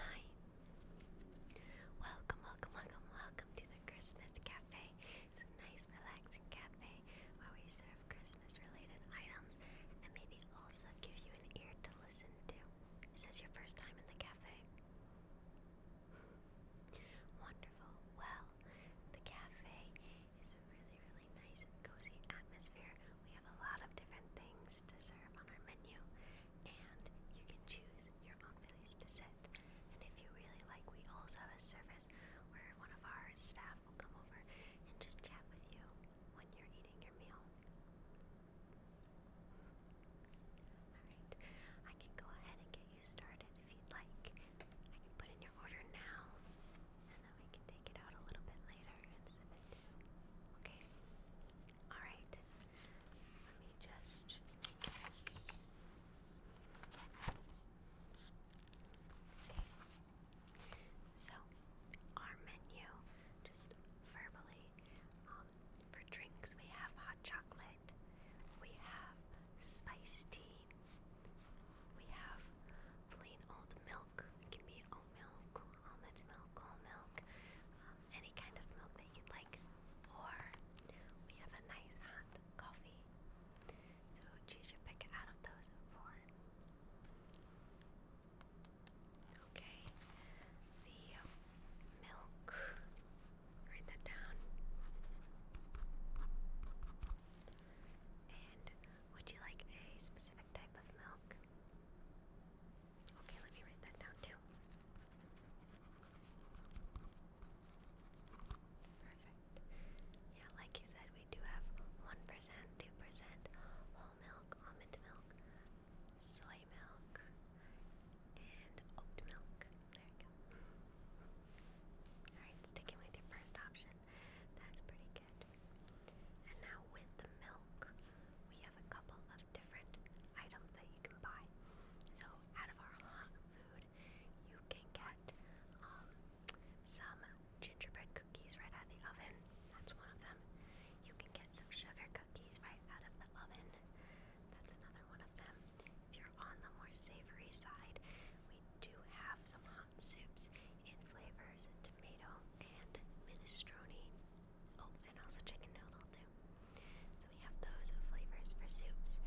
Hi. Welcome, welcome, welcome, welcome to the Christmas Cafe. It's a nice, relaxing cafe where we serve Christmas related items and maybe also give you an ear to listen to. This Is your first time in the cafe? Wonderful. Well, the cafe is a really, really nice and cozy atmosphere we have a lot of different things to serve on our menu, and you can choose your own place to sit. And if you really like, we also have a service where one of our staff will come over and just chat with you when you're eating your meal. Alright, I can go ahead and get you started if you'd like. I can put in your order now, and then we can take it out a little bit later and Okay? Alright. Let me just. Okay. So, our menu, just verbally, um, for drinks, we have hot chocolate, we have spice tea, we have plain old milk, it can be oat milk, almond milk, whole milk, um, any kind of milk that you'd like. Or we have a nice hot coffee. So choose your pick out of those four. Okay, the milk. Write that down. And would you like a specific type of milk? Okay, let me write that down too. Perfect. Yeah, like you said, we do have 1%, 2% whole milk, almond milk, soy milk, and oat milk. There you go. Alright, sticking with your first option. That's pretty packet. And now with the milk, we have a couple of different items that you can buy. So out of our hot food, you can get um, some gingerbread cookies right out of the oven. That's one of them. You can get some sugar cookies right out of the oven. That's another one of them. If you're on the more savory side, we do have some hot on soups in flavors tomato and minestrone. Oh, and also chicken noodle too. So we have those flavors for soups.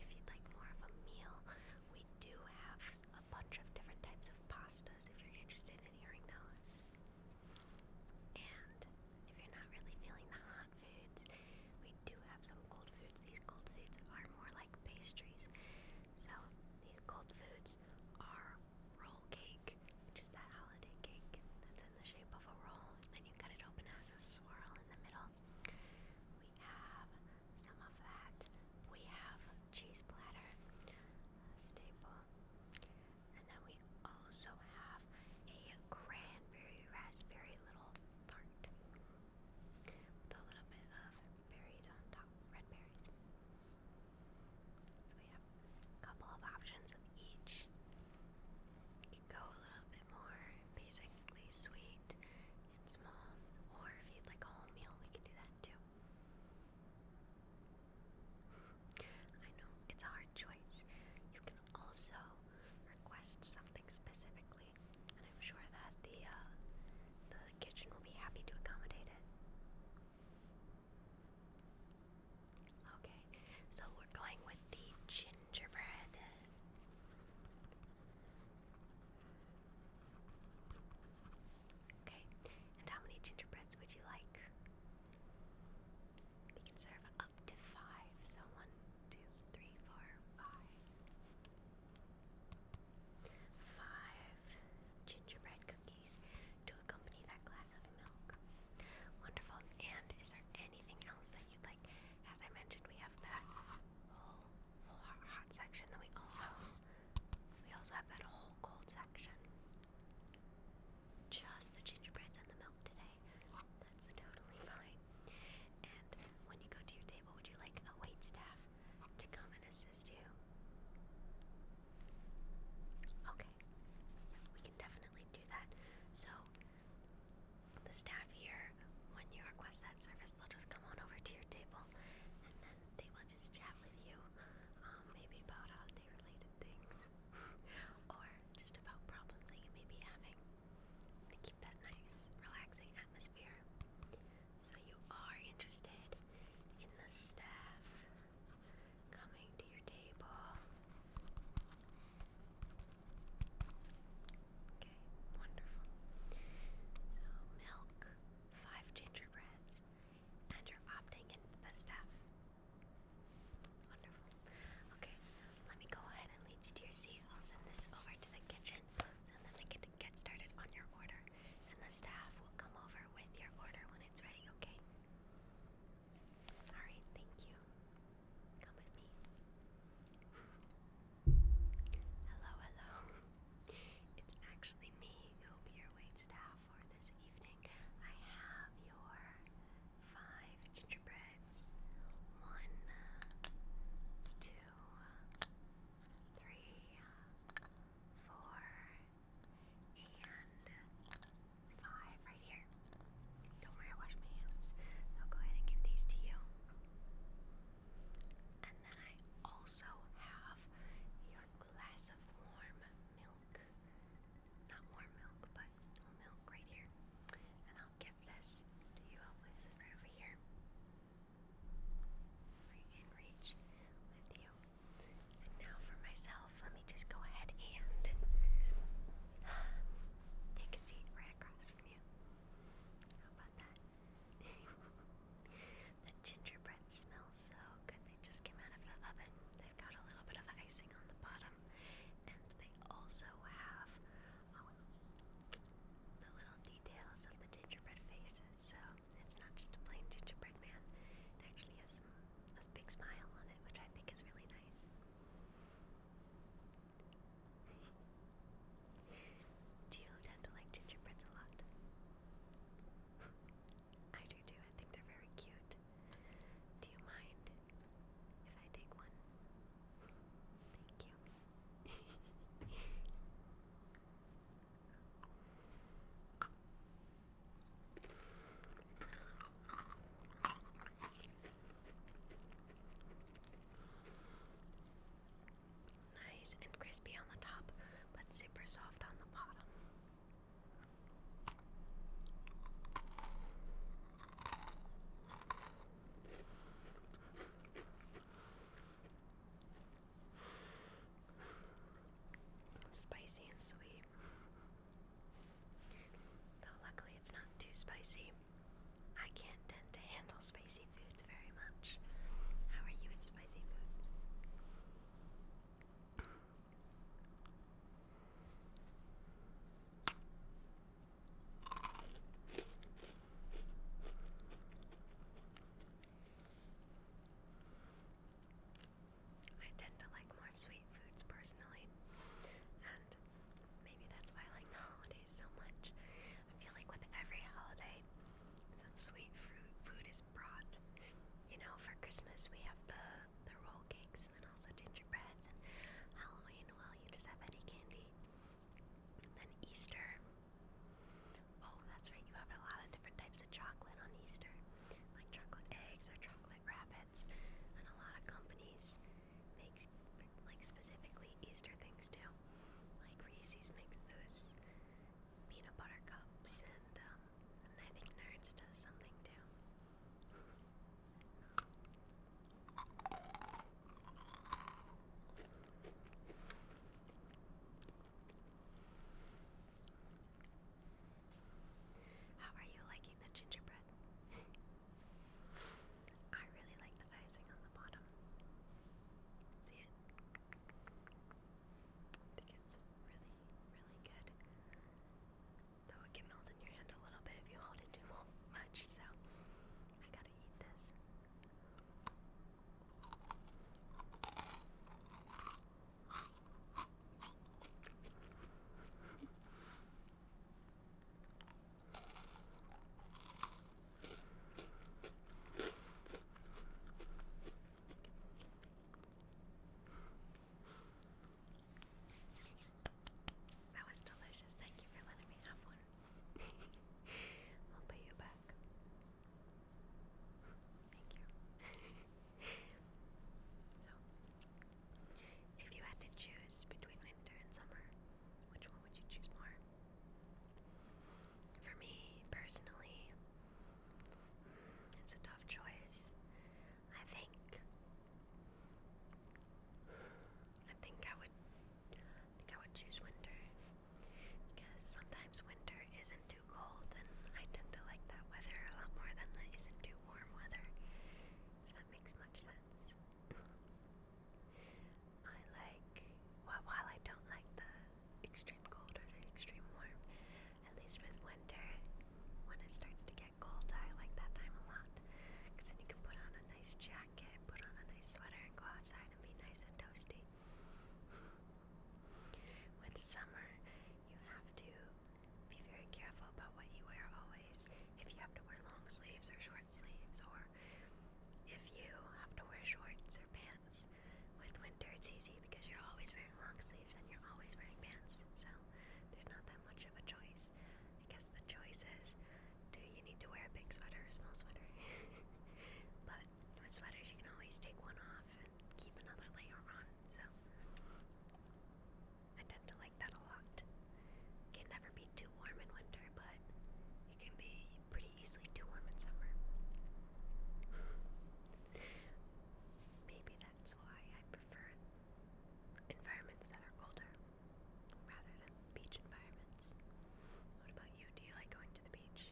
If you'd like more of a meal, we do have a bunch of different types of pastas if you're interested in hearing those. And if you're not really feeling the hot foods, we do have some cold foods. These cold foods are more like pastries. So these cold foods are roll cake, which is that holiday cake that's in the shape of a roll, and you cut it open it has a swirl in the middle. We have some of that. We have cheese platter, a staple, and then we also have a cranberry raspberry little tart with a little bit of berries on top, red berries. So we have a couple of options of each. You could go a little bit more basically sweet and small, or if you'd like a whole meal, we can do that too. I know it's a hard choice. You can also request something specifically, and I'm sure that the uh, the kitchen will be happy to accommodate it. Okay, so we're going with the gingerbread. Okay, and how many gingerbreads would you like? We can serve up to five. So one, two, three, four, five five gingerbread cookies to accompany that glass of milk. Wonderful. And is there anything else that you like? As I mentioned, we have that whole, hot, section. Then we also we also have that whole cold section. Just the gingerbread and the milk today. That's totally fine. And when you go to your table, would you like a wait to come and assist you. Okay, we can definitely do that. So, the staff here, when you request that service, they'll just come on over to your table and then they will just chat with you, um, maybe about holiday related things or just about problems that you may be having to keep that nice, relaxing atmosphere. So you are interested in the staff coming to your table. Okay, wonderful. So milk, five gingerbreads, and you're opting in the staff. Wonderful. Okay, let me go ahead and lead you to your seat. I'll send this over to the kitchen. So then they get started on your order, and the staff will come over with your order when it's ready, okay? Alright, thank you. Come with me. hello, hello. It's actually me who will be your wait for this evening. I have your five gingerbreads. One, two, three, four, and five right here. Don't worry, I wash my hands. I'll go ahead and give these to you. And then I also have your glass of warm milk. Not warm milk, but milk right here. And I'll give this you. i this right over here and you. now for myself, let me just go ahead and take a seat right across from you. How about that? the gingerbread smells so good. They just came out of the oven. They've got a little bit of icing on the bottom, and they also have um, the little details of the gingerbread faces, so it's not just a plain gingerbread man. actually has a big smile on it, which I think is really nice. do you tend to like gingerbreads a lot? I do too. I think they're very cute. Do you mind if I take one? Thank you nice and crispy on the top, but super soft on the bottom. Spicy and sweet. luckily it's not too spicy. I can't tend to handle spicy foods very much. How are you with spicy foods? I tend to like more sweet foods personally, and maybe that's why I like the holidays so much. I feel like with every holiday, some sweet fruit food is brought. You know, for Christmas we have the the roll cakes and then also gingerbread. and Halloween, well, you just have any candy. then Easter, Oh, that's right, you have a lot of different types of chocolate on Easter, like chocolate eggs or chocolate rabbits, and a lot of companies make like specifically Easter things too. Like Reese's makes those peanut butter cups, and um, and I think Nerds does something too. How are you liking the gingerbread? I really like the icing on the bottom. See it? I think it's really, really good. Though it can melt in your hand a little bit if you hold it too much, so I got that was delicious. Thank you for letting me have one. I'll pay you back. Thank you. so, if you had to choose between winter and summer, which one would you choose more? For me, personally, mm, it's a tough choice. I think. I think I would I think I would choose winter because sometimes winter isn't too cold, and I tend to like that weather a lot more than the isn't too warm weather. If that makes much sense. I like, well, while I don't like the extreme cold or the extreme warm, at least with winter, when it starts to get cold, I like that time a lot. Because then you can put on a nice jacket jacket, put on a nice sweater, and go outside and be nice and toasty. With summer, you have to be very careful about what you wear always. If you have to wear long sleeves or short sleeves, or if you have to wear shorts or pants, with winter it's easy because you're always wearing long sleeves and you're always wearing pants, so there's not that much of a choice. I guess the choice is do you need to wear a big sweater or a small sweater? but with sweaters, you can always take one off and keep another layer on, so I tend to like that a lot. Can never be too warm in winter, but you can be pretty easily too warm in summer. Maybe that's why I prefer environments that are colder rather than beach environments. What about you? Do you like going to the beach?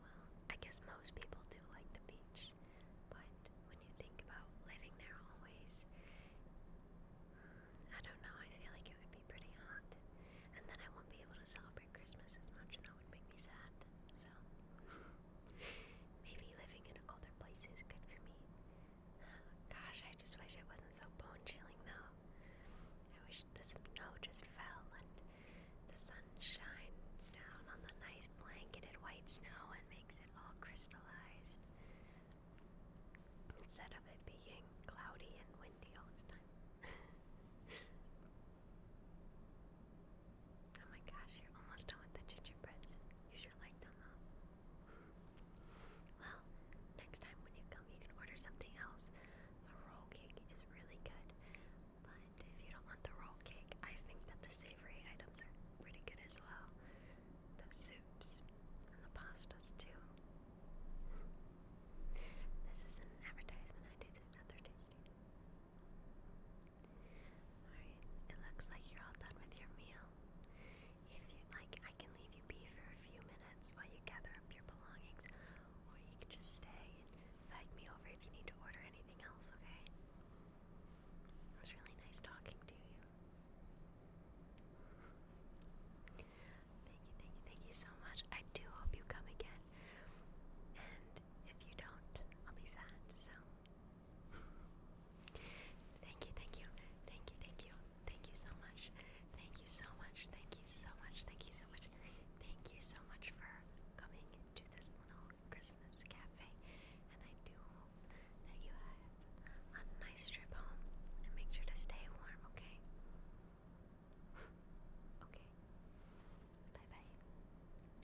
Well, I guess most people do like the beach, but when you think about living there always, hmm, I don't know, I feel like it would be pretty hot. And then I won't be able to celebrate Christmas as much, and that would make me sad. So, maybe living in a colder place is good for me. Gosh, I just wish it wasn't so bone chilling though. I wish the snow just fell and the sun shines down on the nice blanketed white snow and makes it all crystallized. Instead of it being cloudy and windy all the time. Oh my gosh, you're almost done with the gingerbread. You sure like them, huh? well, next time when you come, you can order something else. The roll cake is really good, but if you don't want the roll cake, I think that the savory items are pretty good as well. The soups and the pastas, too. this is an advertisement I do the other tasting. Alright, it looks like you're all done with your meal. If you like, I can leave you be for a few minutes while you gather up your belongings, or you can just stay and flag me over if you need to order anything else, okay? It was really nice talking to you. thank you, thank you, thank you so much. I do hope you come again. And if you don't, I'll be sad, so Thank you, thank you, thank you, thank you, thank you so much. Thank you so much, thank you so much, thank you so much. Thank you so much for coming to this little Christmas cafe. And I do hope that you have a nice trip home and make sure to stay warm, okay? okay. Bye bye.